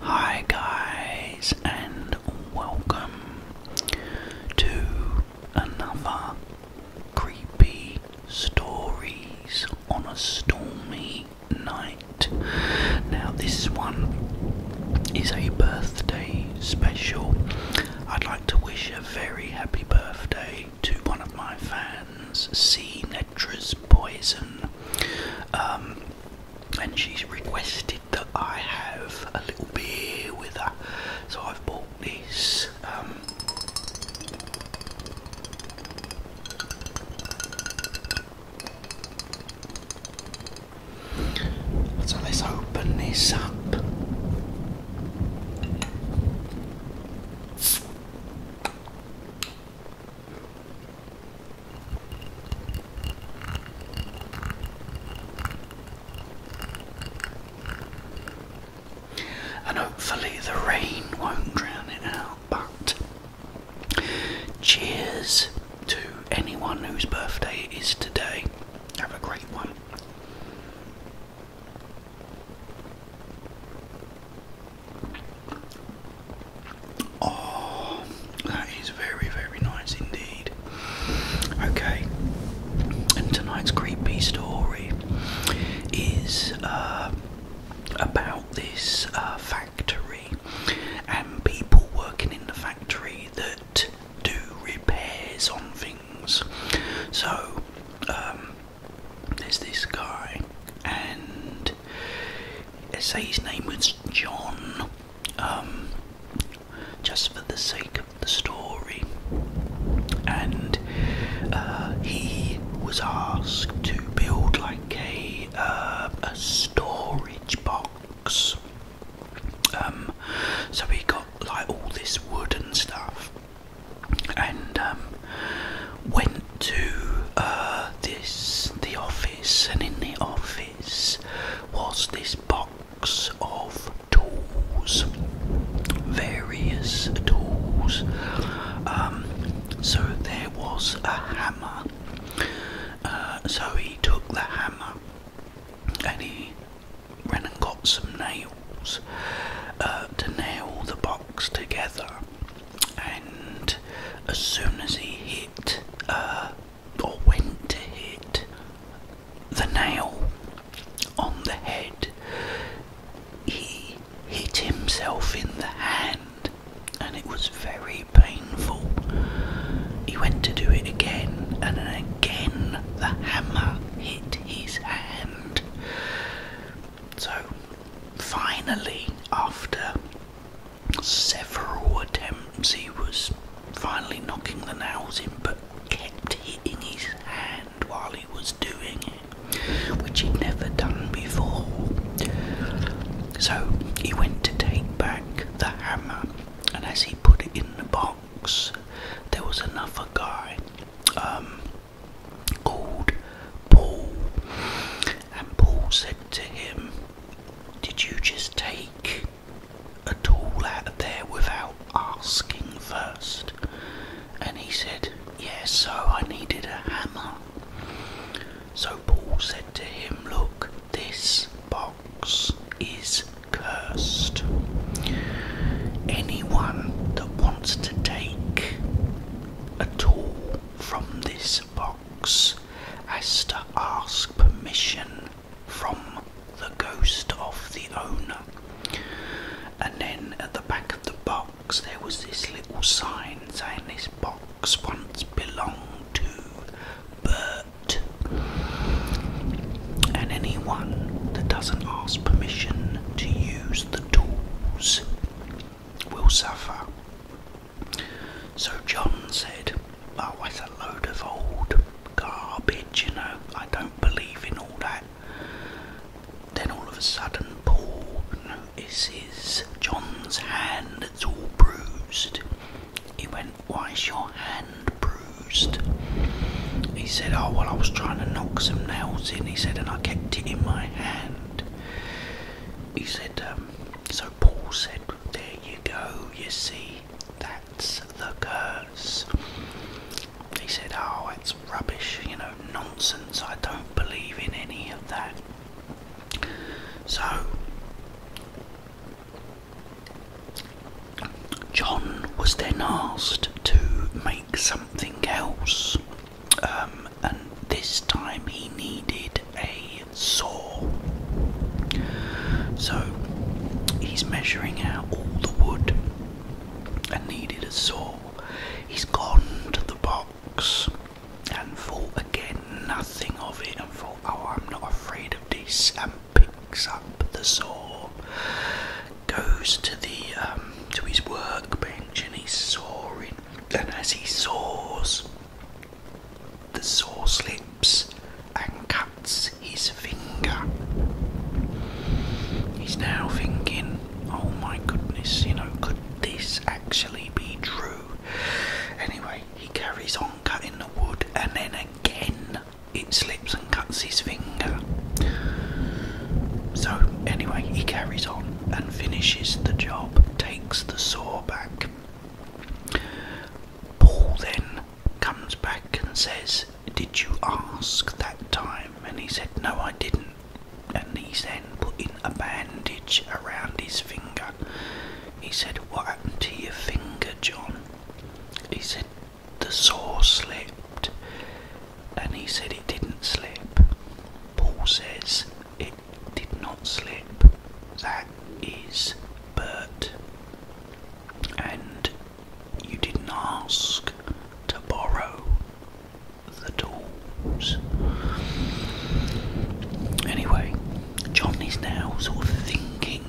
Hi, guys, and welcome to another creepy stories on a stormy night. Now, this one is a birthday special. I'd like to wish a very happy birthday to one of my fans, C poison, um, and she's requested that I have a little beer with her, so I've bought this. Um, so let's open this up. And hopefully the rain won't drown it out. But cheers to anyone whose birthday it is today. Have a great one. Oh, that is very, very nice indeed. Okay, and tonight's creepy story is uh, about this uh, factory and people working in the factory that do repairs on things. So, um, there's this guy, and let's say his name was John, um, just for the sake of the story. And uh, he was asked to build like a uh, a storage box. Um, so he got like all this wood and stuff, and um, went to uh, this the office, and in the office was this box of tools, various tools. Um, so there was a hammer. Uh, so he took the hammer and he ran and got some nails. Uh, to nail the box together. And as soon as he hit, uh, or went to hit, the nail on the head, he hit himself in the hand and it was very painful. He went to do it again and again the hammer hit his hand so, finally, after several attempts, he was finally knocking the nails in but kept hitting his hand while he was doing it, which he'd never done before. So, he went to take back the hammer, and as he put it in the box, there was another guy um, called Paul, and Paul said to him, Did you just take a tool out of there without asking first? And he said, Yes, so I needed a hammer. So Paul said to him, Look, this box is cursed. Anyone that wants to take a tool from this box has to ask permission from the ghost of the owner. And then at the back of the box, there was this little sign saying this box once belonged to Bert and anyone that doesn't ask permission to use the tools will suffer. So John said, Oh, that's a load of old garbage, you know, I don't believe in all that. Then all of a sudden, Paul notices John's hand that's all bruised. He went, why is your hand bruised? He said, Oh, well, I was trying to knock some nails in. He said, and I kept it in my hand. He said, um, So Paul said, There you go, you see, that's the curse. He said, Oh, it's rubbish, you know, nonsense. I don't believe in any of that. So, John was then asked to make something else, um, and this time he needed a saw. So he's measuring out all the wood and needed a saw. He's gone to the box and thought again nothing of it and thought, oh, I'm not afraid of this, um, picks up the saw, goes to the um, to his workbench, and he's sawing. And as he saws, the saw slips and cuts his finger. He's now thinking, "Oh my goodness, you know, could this actually be true?" Anyway, he carries on cutting the wood and then again it slips and cuts his finger. So, anyway, he carries on and finishes the job, takes the saw back. Paul then comes back and says, Did you ask that time? And he said, No, I didn't. And he's then putting a bandage around his finger he said, What happened to your finger, John? He said, The saw slipped. And he said, It didn't slip. Paul says, It did not slip. That is Bert. And you didn't ask to borrow the tools. Anyway, John is now sort of thinking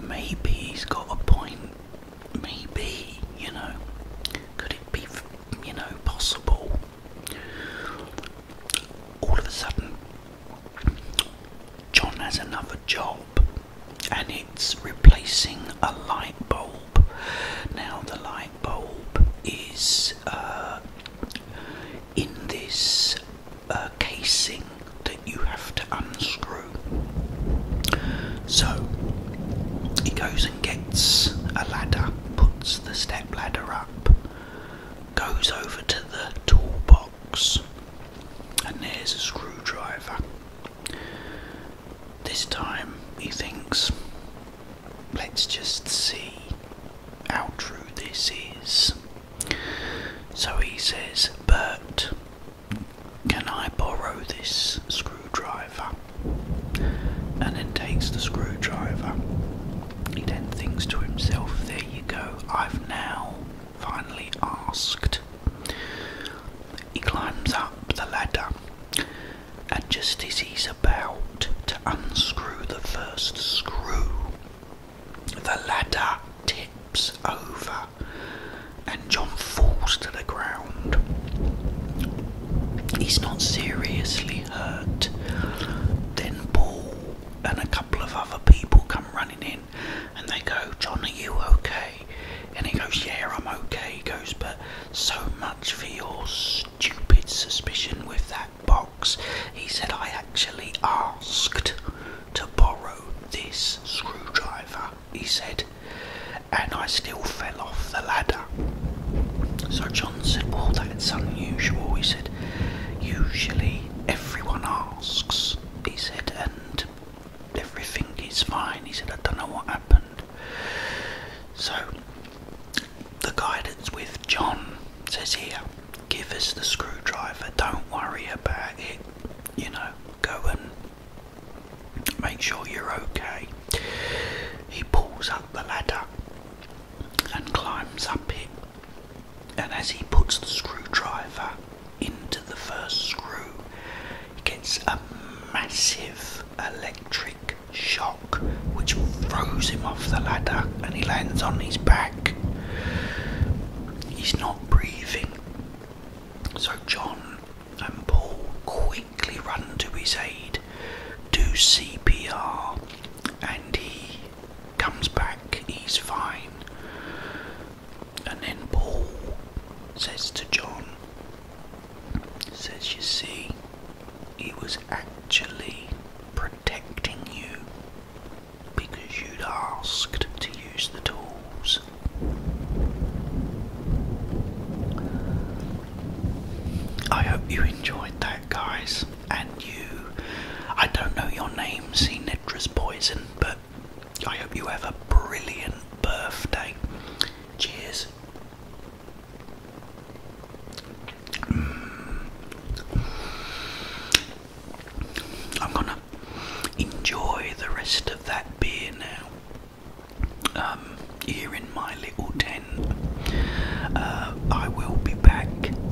maybe he's got a point. Maybe, you know, could it be, you know, possible? All of a sudden, John has another job and it's replacing a light bulb. Now, the light bulb is uh, in this a casing that you have to unscrew. So he goes and gets a ladder, puts the step ladder up, goes over to the toolbox, and there's a screwdriver. This time he thinks, let's just see how true this is. So he says, Bert, can I borrow this screwdriver? And then takes the screwdriver. He then thinks to himself, There you go, I've now finally asked. He climbs up the ladder, and just as he's about to unscrew the first screw, the ladder tips over and John falls to the ground. He's not seriously hurt. Then Paul and a couple of other people come running in and they go, John, are you okay? And he goes, Yeah, I'm okay. He goes, But so much for your stupid suspicion with that box." He said, I actually asked to borrow this screwdriver, he said, and I still fell off the ladder. So John said, Well, that's unusual. He said, Usually everyone asks, he said, and everything is fine. He said, I don't know what happened. So the guidance with John says here, give us the screwdriver, don't worry about it, you know, go and make sure you're okay. He pulls up the ladder and climbs up it, and as he puts the screwdriver into the first screw, he gets a massive electric shock which throws him off the ladder and he lands on his back. He's not breathing. So John and Paul quickly run to his aid, do CPR, and he comes back, he's fine. And then Paul says to John, says, You see, he was actually protecting you because you'd asked to use the tools. I hope you enjoyed that, guys. And you, I don't know your name, Cenetra's Poison, but I hope you have a brilliant birthday. Cheers. Mm. I'm gonna enjoy the rest of that beer now. Um, here in my little tent. Uh, I will be back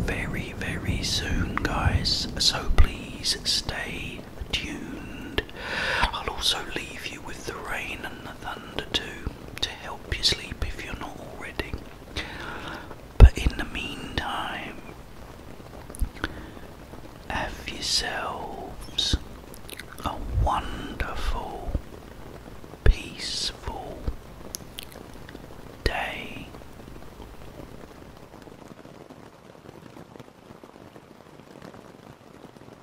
very, very soon, guys. So please stay tuned. I'll also leave you with the rain and the thunder too to help you sleep if you're not already. But in the meantime, have yourselves a wonderful, peaceful day.